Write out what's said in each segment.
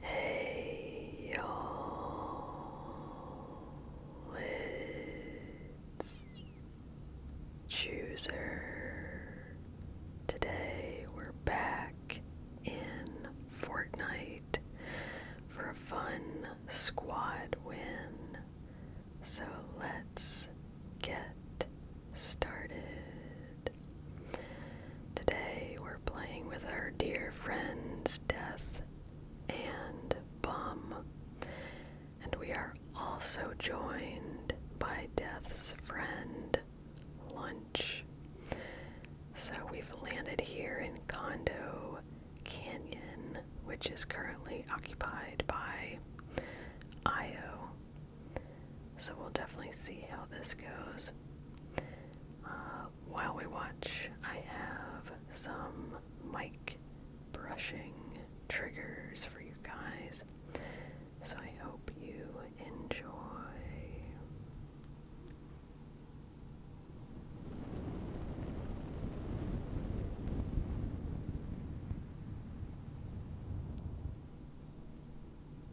Hey y'all, it's Chooser. Today we're back in Fortnite for a fun squad win. So let's get started. Today we're playing with our dear friends Death and Bum, and we are also joined by Death's friend Lunch. So we've landed here in Condo Canyon, which is currently occupied by Io. So we'll definitely see how this goes. Uh, while we watch, I have some mic brushing triggers for you guys. So I hope you enjoy.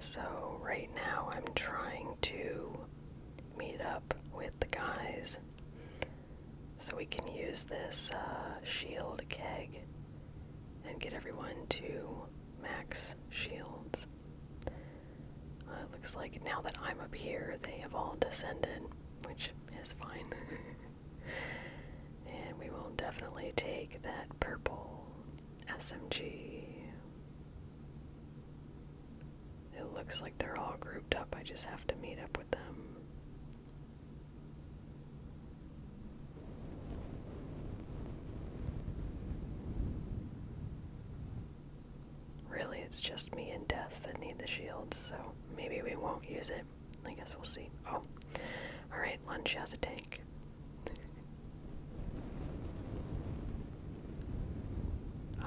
So, right now, I'm trying to meet up with the guys so we can use this uh, shield keg and get everyone to max shields it looks like now that I'm up here, they have all descended, which is fine. and we will definitely take that purple SMG. It looks like they're all grouped up. I just have to meet up with them. Really, it's just me and Death that need the shields, so maybe we won't use it. I guess we'll see. Oh, alright, Lunch has a tank.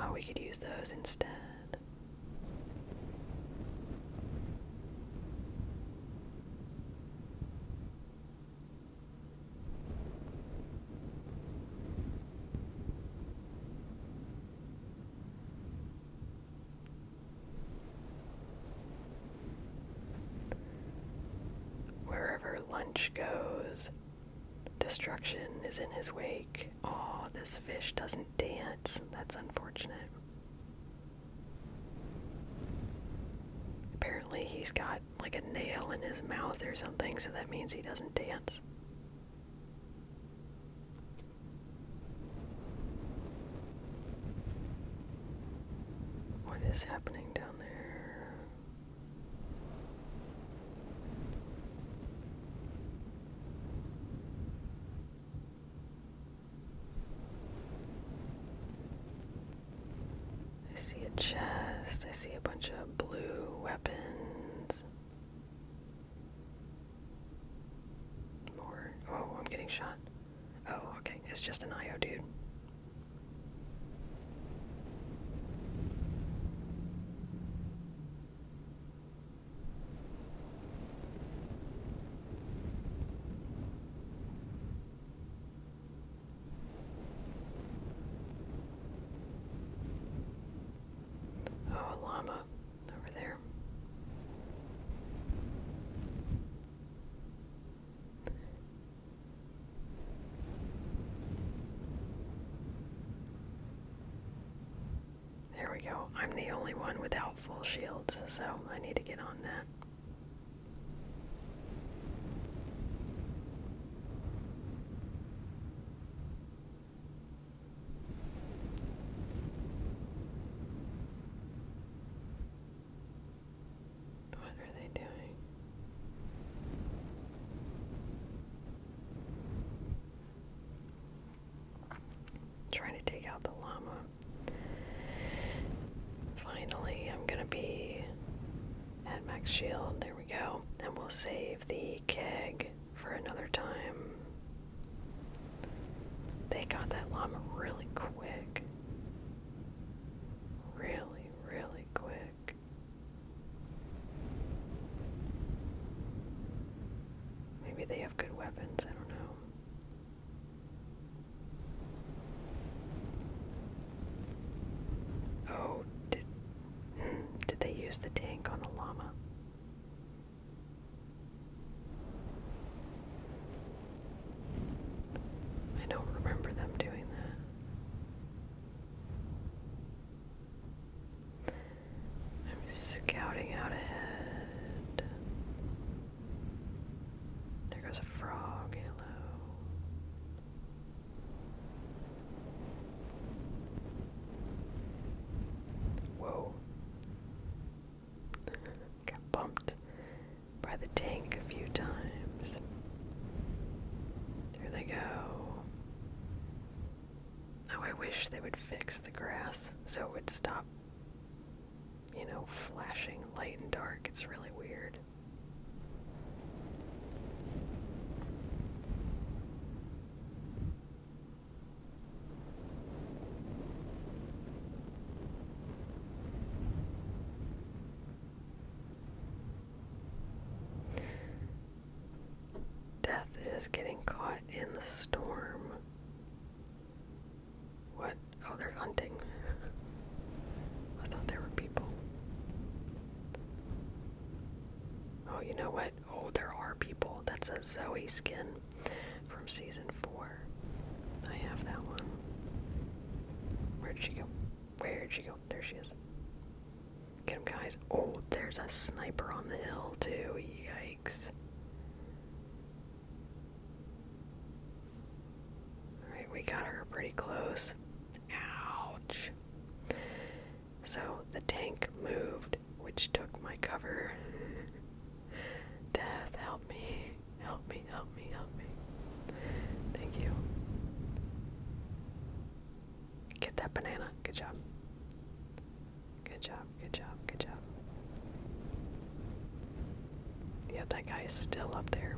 oh, we could use those instead. Wherever lunch goes, destruction is in his wake. Oh, this fish doesn't dance. That's unfortunate. Apparently, he's got like a nail in his mouth or something, so that means he doesn't dance. What is happening down there? I see a chest, I see a bunch of blue weapons. More. Oh, I'm getting shot. Oh, okay. It's just an IO dude. Oh, llama over there. There we go. I'm the only one without full shields, so I need to get on that. What are they doing? Trying to take out the llama. Finally, I'm gonna be at max shield. There we go. And we'll save the keg for another time. They got that llama really quick. Really, really quick. Maybe they have good weapons, I don't know. Oh, did they use the tank on the llama? I don't remember them doing that. I'm scouting out ahead. There goes a frog, hello. Whoa. Got bumped by the tank a few times. There they go. Oh, I wish they would fix the grass so it would stop, you know, flashing light and dark. It's really weird. Death is getting caught in the storm. What? Oh, they're hunting. I thought there were people. Oh, you know what? Oh, there are people. That's a Zoe skin from season four. I have that one. Where did she go? Where did she go? There she is. Get him, guys. Oh, there's a sniper on the hill, too. Yikes. Alright, we got her pretty close. Ouch. So the tank moved, which took my cover. Death, help me, help me, help me, help me. Thank you. Get that banana. Good job. Good job, good job, good job. Yeah, that guy is still up there.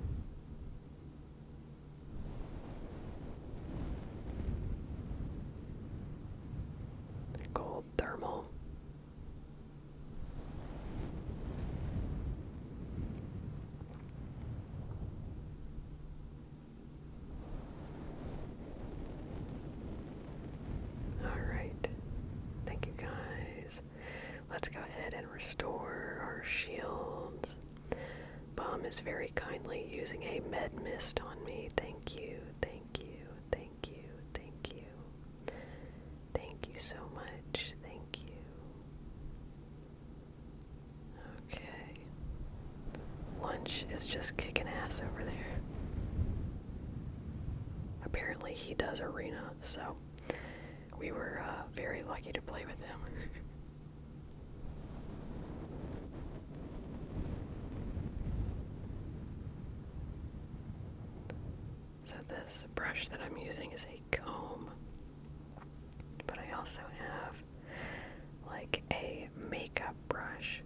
Gold thermal. All right. Thank you guys. Let's go ahead and restore our shields. Bomb is very kindly using a med mist on me. Thank you, thank you, thank you, thank you. Thank you so much. Thank you. Okay. Lunch is just kicking ass over there. Apparently, he does arena, so we were uh, very lucky to play with him. So, this brush that I'm using is a comb, but I also have like a makeup brush.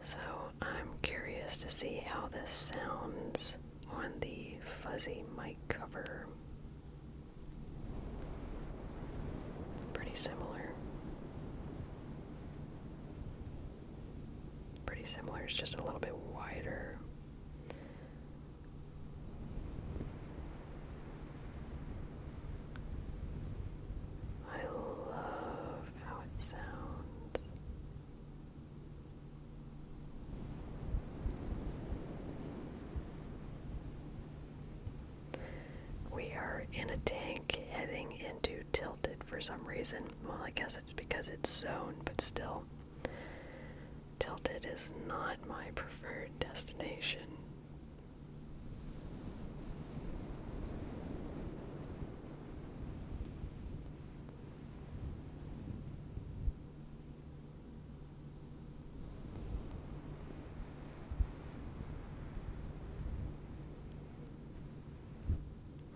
So, I'm curious to see how this sounds on the fuzzy mic cover. Pretty similar. Pretty similar, it's just a little bit wider. I love how it sounds. We are in a tank heading into Tilted for some reason. Well, I guess it's because it's zoned, but still. Tilted is not my preferred destination.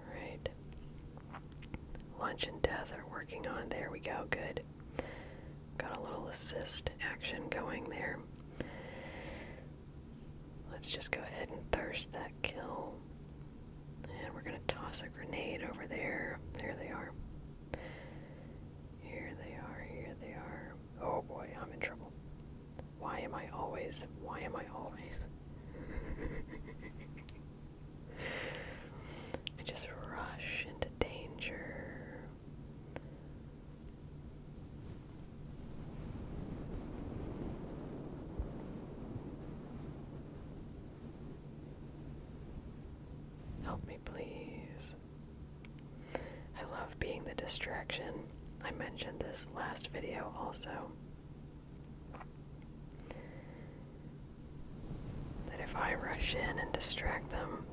Alright. Lunch and death are working on. There we go. Good. Got a little assist action going there. Let's just go ahead and thirst that kill. And we're going to toss a grenade over there. There they are. Here they are. Here they are. Oh boy, I'm in trouble. Why am I always? Why am I always? I just rush into danger. Help me, please. I love being the distraction. I mentioned this last video also. That if I rush in and distract them,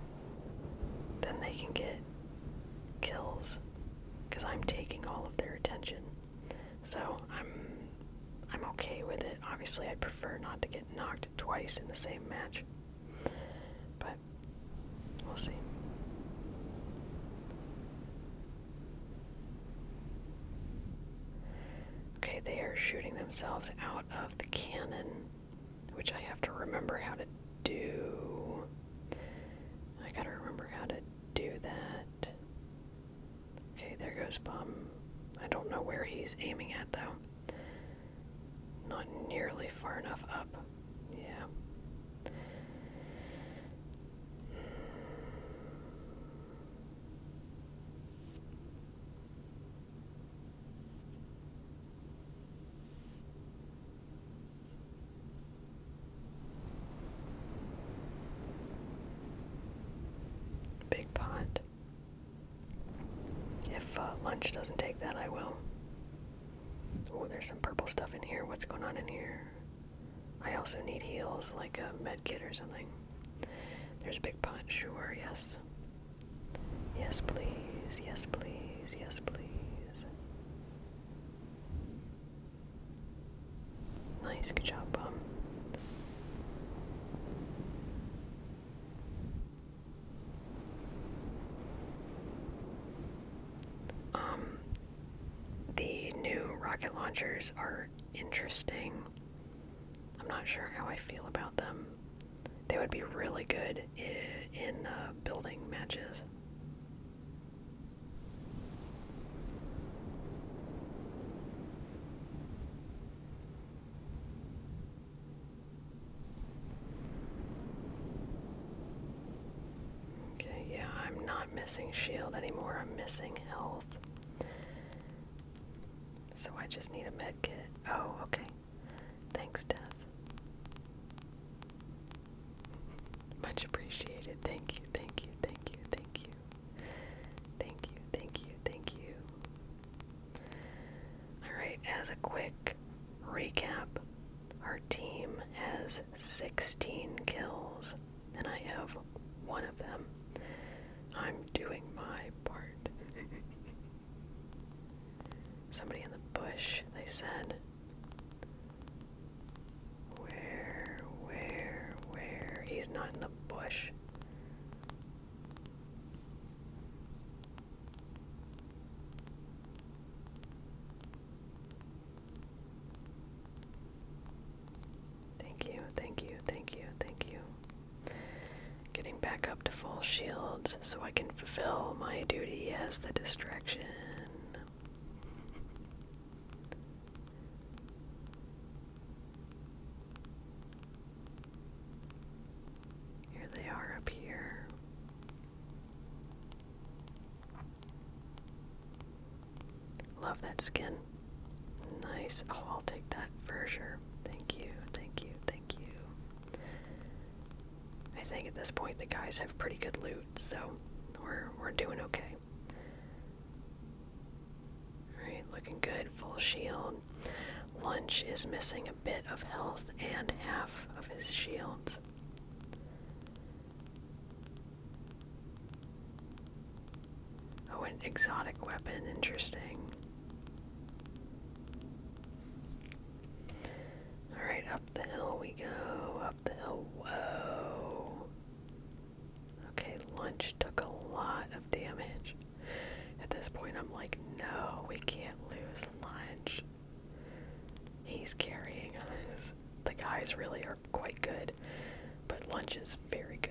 then they can get kills because I'm taking all of their attention. So I'm I'm okay with it. Obviously, I'd prefer not to get knocked twice in the same match. But we'll see. Okay, they are shooting themselves out of the cannon, which I have to remember how to do. I gotta remember how to do that. Okay, there goes Bum. I don't know where he's aiming at though. Not nearly far enough up. Yeah. Big pot. If uh, lunch doesn't take that, I will. Oh, there's some purple stuff in here. What's going on in here? I also need heels, like a med kit or something. There's a big pot. Sure, yes. Yes, please. Yes, please. Yes, please. Nice. Good job, bum. Um, the new rocket launchers are interesting. I'm not sure how I feel about them. They would be really good in uh, building matches. Okay, yeah, I'm not missing shield anymore. I'm missing health. So I just need a med kit. Oh, okay. Thanks, Death. Much appreciated. Thank you, thank you, thank you, thank you. Thank you, thank you, thank you. Alright, as a quick recap our team has 16 kills, and I have one of them. I'm doing my part. Somebody in the bush, they said. Where, where, where? He's not in the bush. Thank you, thank you, thank you, thank you. Getting back up to full shields so I can fulfill my duty as the distraction. Here they are up here. Love that skin. Nice. Oh, I'll take that for sure. Thank you, thank you, thank you. I think at this point the guys have pretty good loot, so we're we're doing okay. Alright, looking good, full shield. Lunch is missing a bit of health and half of his shields. Oh, an exotic weapon, interesting. Alright, up the hill we go. Up the hill, whoa. Okay, lunch took a lot of damage. At this point, I'm like, no, we can't lose lunch. He's carrying us. The guys really are quite good, but lunch is very good.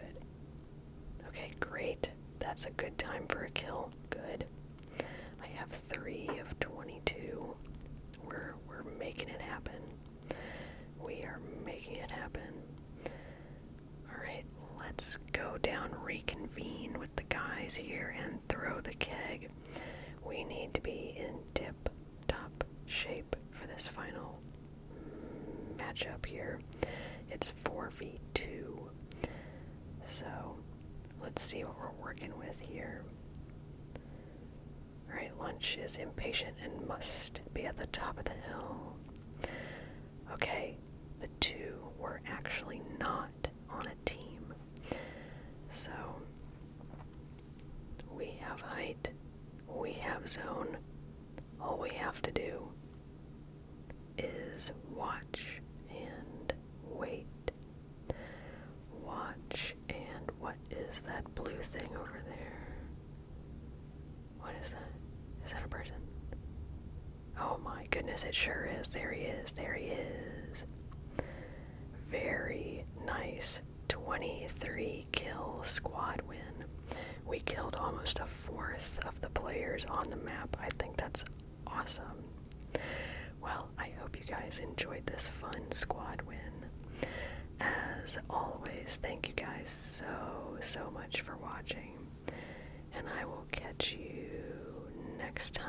Okay, great. That's a good time for a kill. Good. I have three of twenty-two. We're we're making it happen. We are making it happen. Alright, let's go down, reconvene with the guys here, and throw the keg. We need to be in tip top shape for this final matchup here. It's 4v2. So let's see what we're working with here. Alright, lunch is impatient and must be at the top of the hill. Okay, the two were actually not on a team. So we have height, we have zone. All we have to do is watch and wait. Watch and what is that blue thing over there? What is that? Is that a person? Oh my goodness, it sure is. There he is. There he is. Very nice 23 kill squad win. We killed almost a fourth of the players on the map. I think that's awesome. Well, I hope you guys enjoyed this fun squad win. As always, thank you guys so, so much for watching. And I will catch you next time.